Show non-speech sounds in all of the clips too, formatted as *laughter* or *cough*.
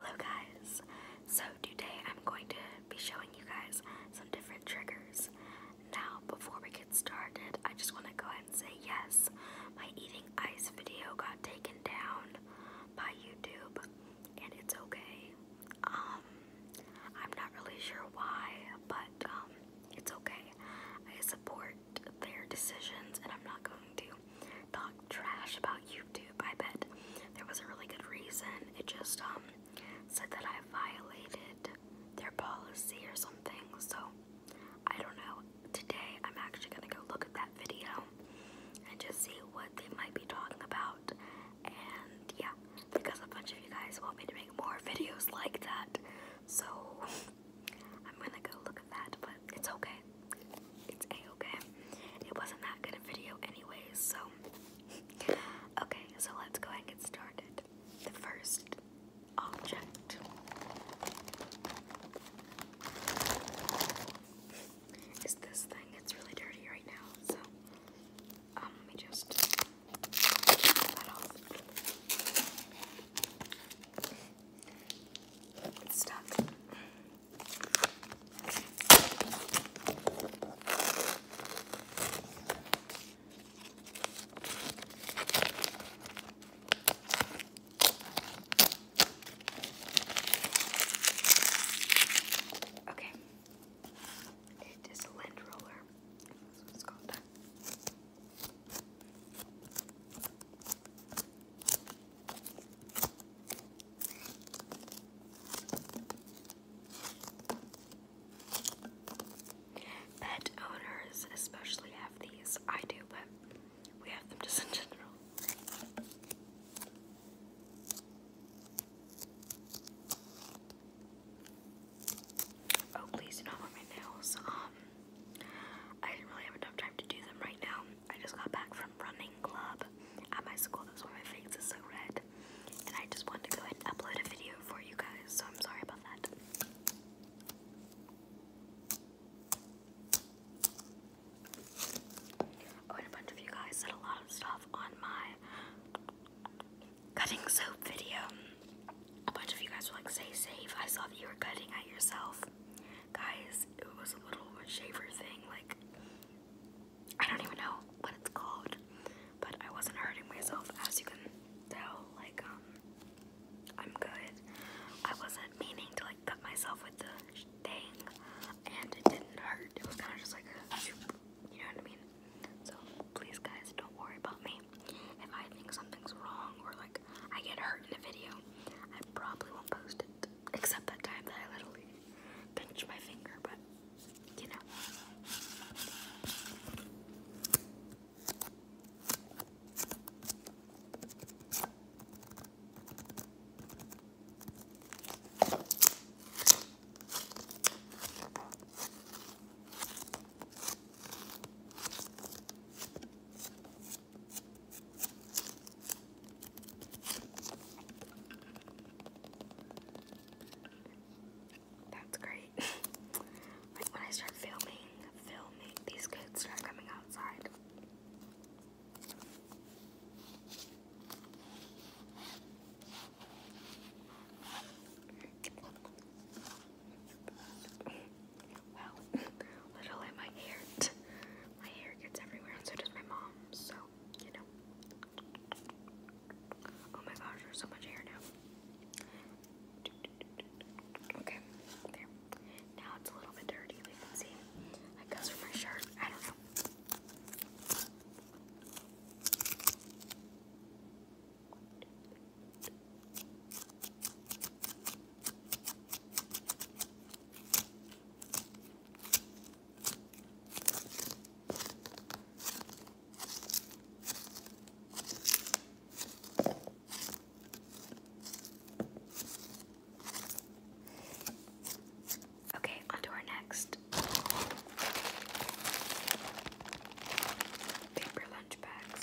Hello guys, so today I'm going to be showing you guys some different triggers. Now before we get started, I just want to go ahead and say yes, my eating ice video got taken down by YouTube and it's okay. Um, I'm not really sure why, but um, it's okay. I support their decisions and I'm not going to talk trash about YouTube. I bet there was a really good reason. It just um said that I violated their policy or something. So I don't know. Today I'm actually gonna go look at that video and just see what they might be talking about. And yeah, because a bunch of you guys want me to make more *laughs* videos like that. So *laughs* I'm gonna go look at that. But it's okay. It's a-okay. It wasn't that good a video anyways, so. okay, so let's go and get started. The first object is this thing. It's really dirty right now, so um, let me just that off. It's stuck. Okay. It is lint roller. That's what called. Pet owners especially have these. I do, but we have them just in general. Oh, please do not want my nails. Um, I didn't really have enough time to do them right now. I just got back from running club at my school. That's why my face is so red. And I just wanted to go and upload a video for you guys, so I'm sorry about that. Oh, and a bunch of you guys said a lot of stuff on my cutting soap video. A bunch of you guys were like, stay safe. I saw that you were cutting at yourself. Guys, it was a little shaver thing, like, I don't even know what it's called, but I wasn't hurting myself, as you can tell, like, um, I'm good. I wasn't meaning to, like, cut myself with the thing, and it didn't hurt. It was kind of just like a, you know what I mean? So, please, guys, don't worry about me. If I think something's wrong or, like, I get hurt in a video, I probably won't post it except that time that I literally pinched my finger, but you know. That's great. *laughs* when I start filming, filming, these kids start coming outside. Wow, *laughs* literally my hair, my hair gets everywhere and so does my mom, so, you know. Oh my gosh, there's so much hair now. Okay, there. Now it's a little bit dirty, we can see. That goes for my shirt, I don't know. Okay, on our next paper lunch bags.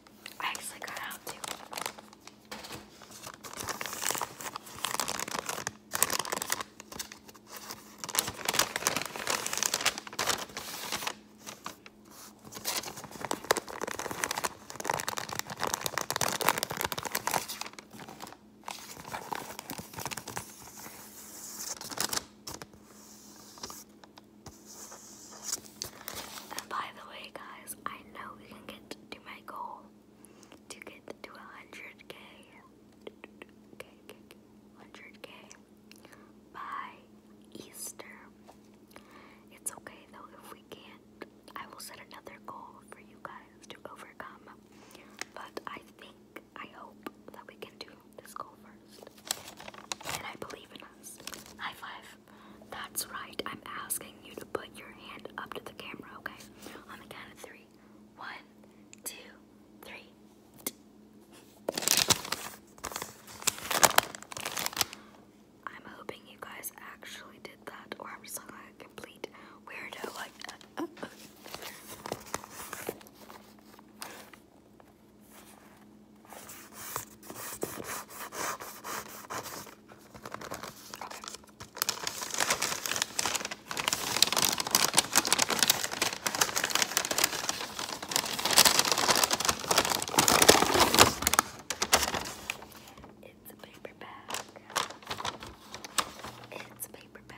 I actually got out too by the way, guys, I know we can get to my goal to get to 100k. 100k by Easter. It's okay though if we can't. I will set another goal for you guys to overcome. But I think, I hope that we can do Let's go first. And I believe in us. High five. That's right. I'm asking you to put your hand up to the camera, okay? On the count of three. One, two, three. I'm hoping you guys actually did that, or I'm just like a complete weirdo. Like, uh, uh, uh. It's a paper bag. It's a paper bag.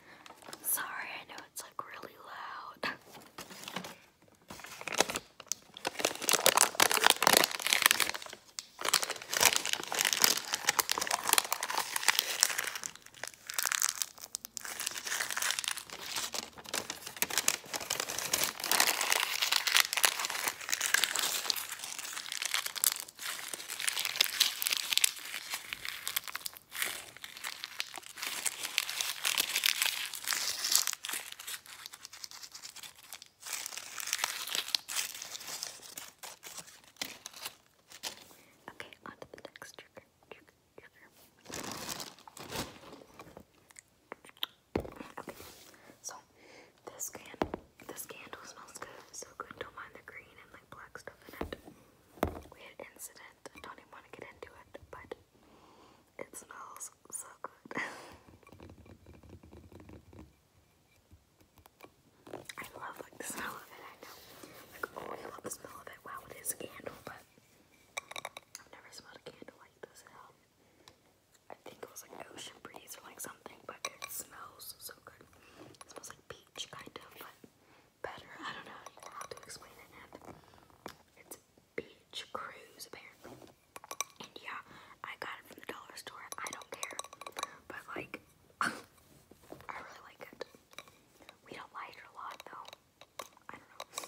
Sorry, I know it's like really loud. Okay, on the next Okay, so this can this candle smells good, so good. Don't mind the green and like black stuff in it weird incident. I don't even want to get into it, but it smells so good. *laughs* I love like the smell of it, I know. Like oh I love the smell of it. Wow it is a candle, but I've never smelled a candle like this I think it was like ocean breeze or like something, but it smells so good. It smells like peace peach kind of, but better. I don't know. You to explain it. It's Beach Cruise apparently. And yeah, I got it from the dollar store. I don't care, but like, *laughs* I really like it. We don't like it a lot though. I don't know.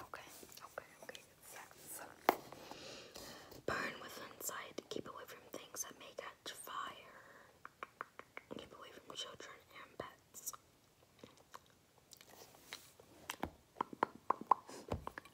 Okay, okay, okay. Seven. Burn with insight. Keep away from things that may catch fire. Keep away from children and pets.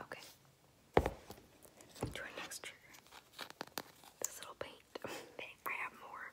Okay. To our next trigger. This little paint. *laughs* I have more.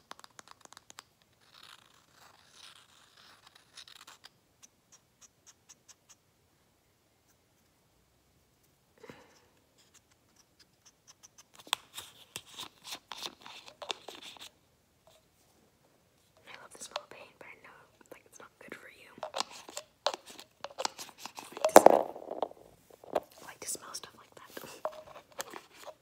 I love the smell of paint, but I know like it's not good for you. I like to smell, I like to smell stuff like that. *laughs*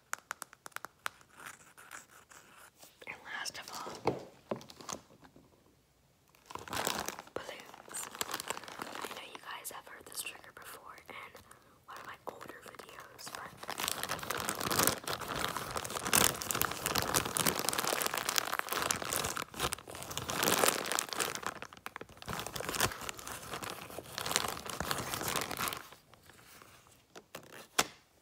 And last of all, balloons. I know you guys have heard this trigger before in one of my older videos, but I can't buy like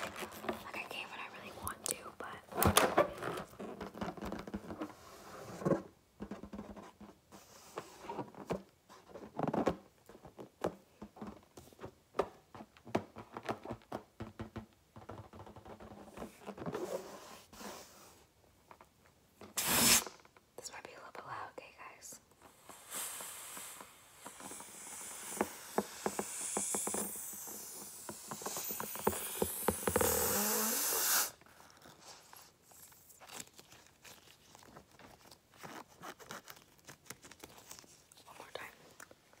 I can when I really want to, but that. This might be a little bit loud, okay, guys? One more time. Okay.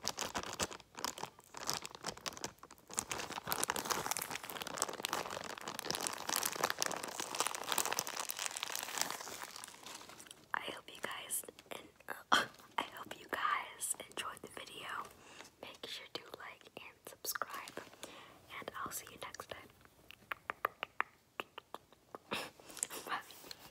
I hope you guys *laughs* I hope you guys enjoyed the video. Make sure to like and subscribe, and I'll see you next time. *laughs* Bye.